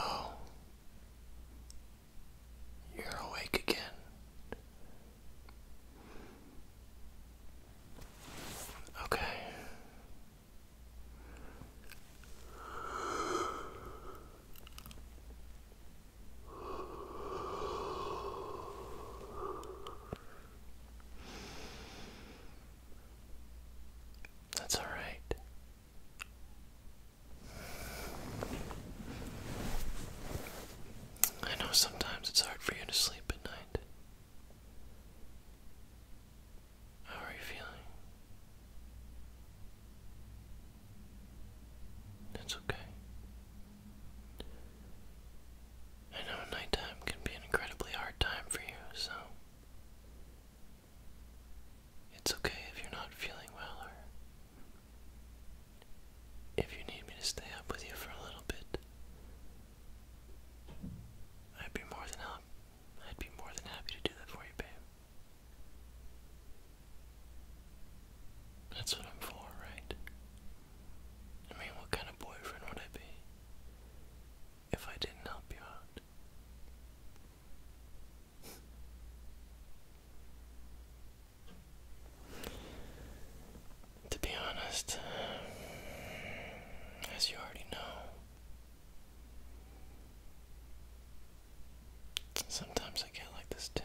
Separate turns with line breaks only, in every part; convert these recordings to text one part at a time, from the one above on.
Oh, you're awake again. Okay. That's all right. I know sometimes it's hard for you to sleep at night. How are you feeling? It's okay. I know nighttime can be an incredibly hard time for you, so it's okay if you're not feeling well or if you need me to stay up with you for a little bit. I'd be more than up. I'd be more than happy to do that for you, babe. That's what I'm for, right? I mean, what kind of boyfriend would I be if I didn't help you out? To be honest, as you already know, sometimes I get like this too.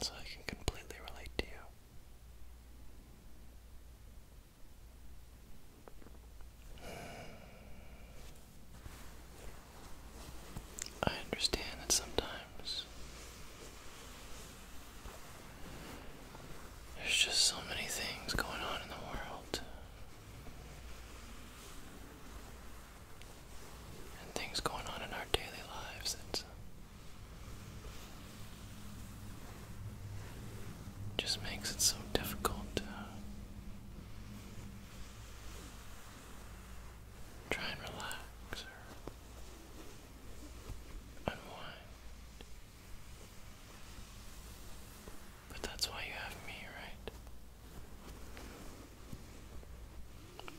So I can completely relate to you. I understand that sometimes there's just so many things going on in the world. And things going on in our daily lives that just makes it so difficult Try and relax or unwind. But that's why you have me, right?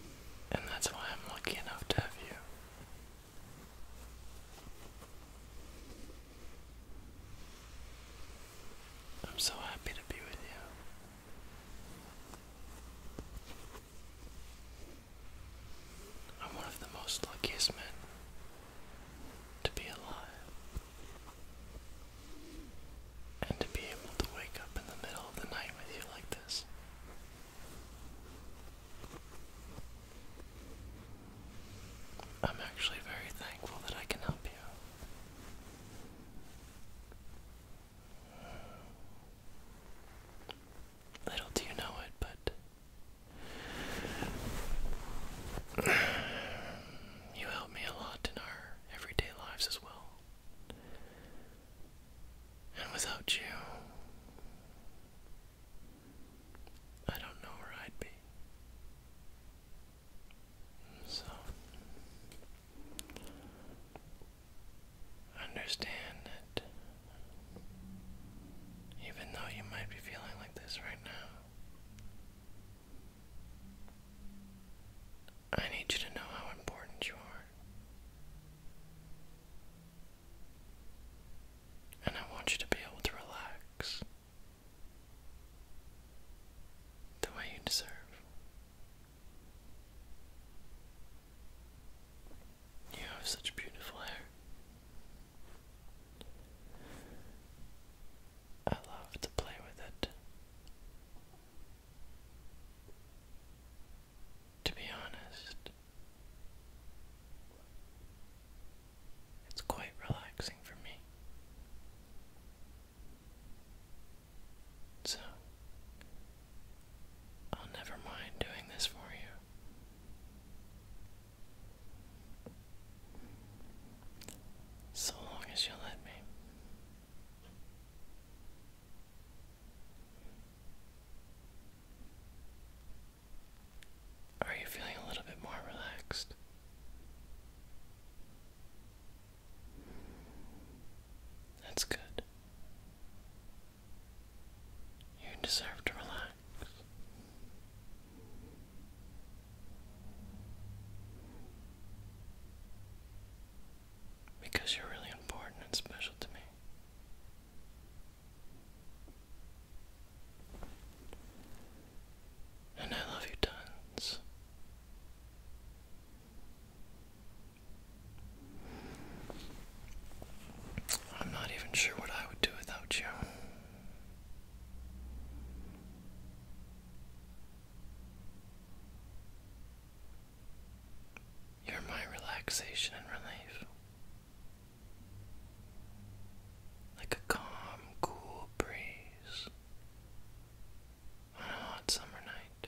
And that's why I'm lucky enough to have you. I'm so happy to be with you. I'm one of the most luckiest men to be alive and to be able to wake up in the middle of the night with you like this. I'm actually very thankful that I can help you. Little do you know it, but you help me a lot in our everyday lives as well. And without you, I don't know where I'd be. So, Understand that even though you might be feeling like this right now, I need you to know how important you are. And I want you to be able to relax the way you deserve. You have such beautiful hair. I love to play with it. To be honest, it's quite relaxing for me. So, I'll never mind doing this for you. So long as you let me. Are you feeling a little bit more relaxed? That's good. You deserve to relax. Because you're really important and special to me. And I love you tons. I'm not even sure what I would do without you. You're my relaxation and relief. Like a calm, cool breeze on a hot summer night.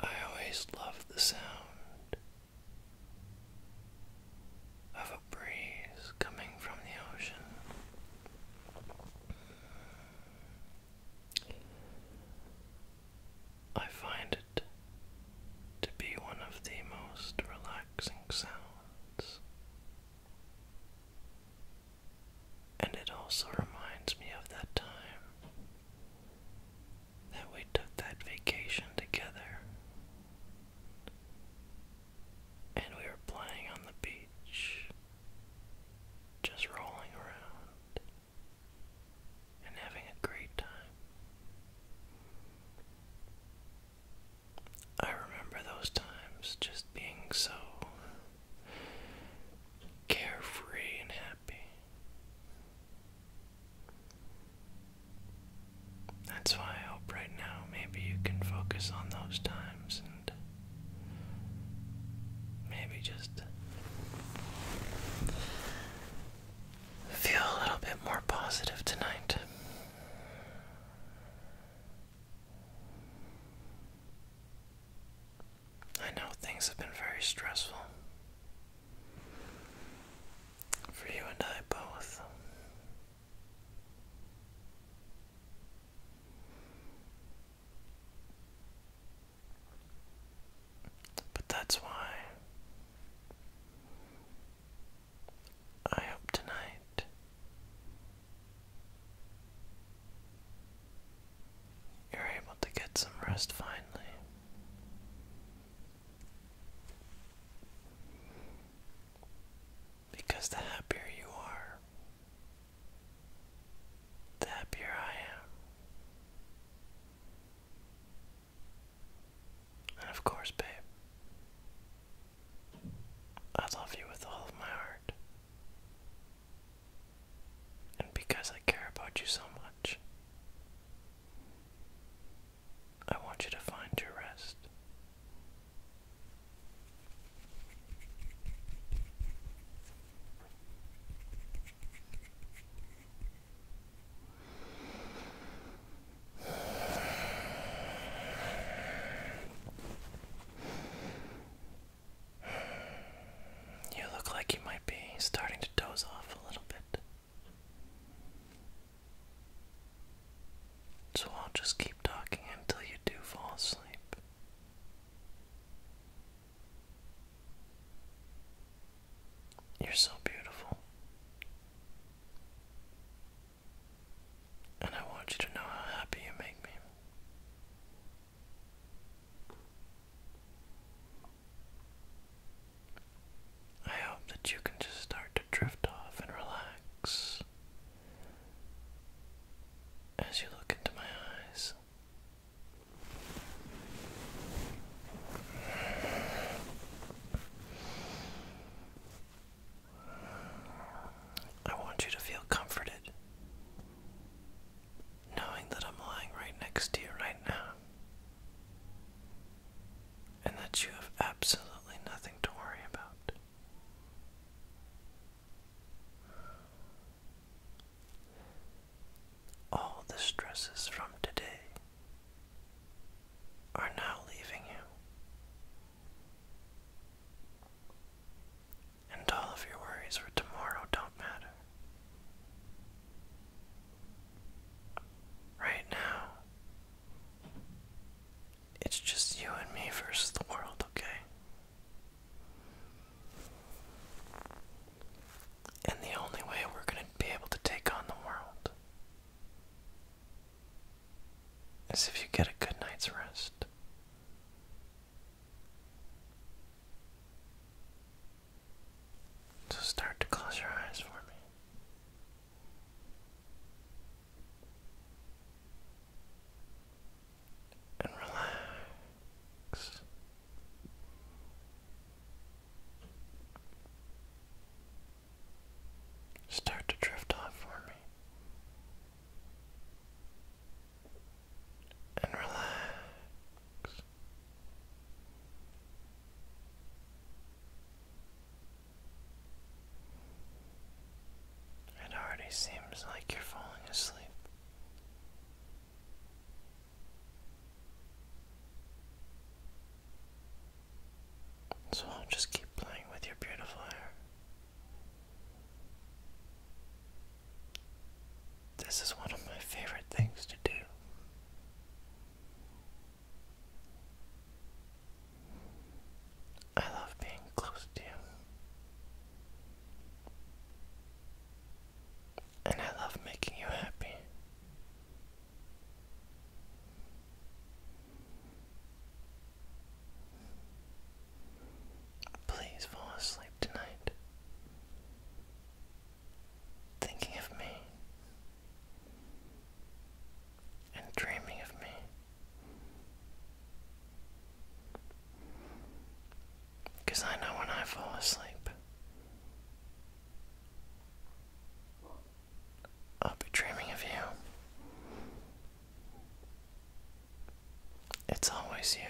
I always love the sound of a breeze coming from the ocean. I find it to be one of the most relaxing sounds and it also reminds me of that time that we took that vacation together. And we were playing on the beach, just rolling around and having a great time. I remember those times just being so carefree and happy. That's why I hope right now maybe you can focus on those times and maybe just feel a little bit more positive tonight. I know things have been very stressful for you and I both. But that's why I hope tonight you're able to get some rest finally. Because the happier you are, the happier I am. And of course, babe, I love you with all of my heart. And because I care about you so much, I want you to find your rest. You look like you might be starting to doze off a little bit. So I'll just keep talking until you do fall asleep. You're so beautiful. And I want you to know how happy you make me. I hope that you can just start to drift off and relax as you look into my eyes. I want you to feel comforted, knowing that I'm lying right next to you right now, and that you have absolutely nothing to worry about. All the stresses from today are now leaving you. And all of your worries for tomorrow don't matter. Right now, it's just you and me versus the world, okay? And the only way we're going to be able to take on the world as if you get a good night's rest. So start to close your eyes for me. And relax start to drift off for me. And relax. It already seems like you're falling asleep. So I'll just keep playing with your beautiful hair. This is one of my favorite things to do. I love being close to you. And I love making you happy. Please fall asleep tonight, thinking of me and dreaming of me. Because I know when I fall asleep, I'll be dreaming of you. It's always you.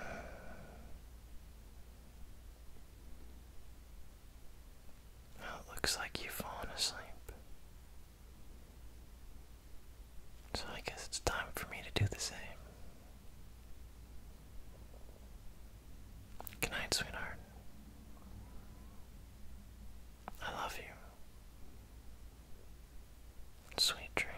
Well, it looks like you've fallen asleep. So I guess it's time for me to do the same. Good night, sweetheart. I love you. Sweet dreams.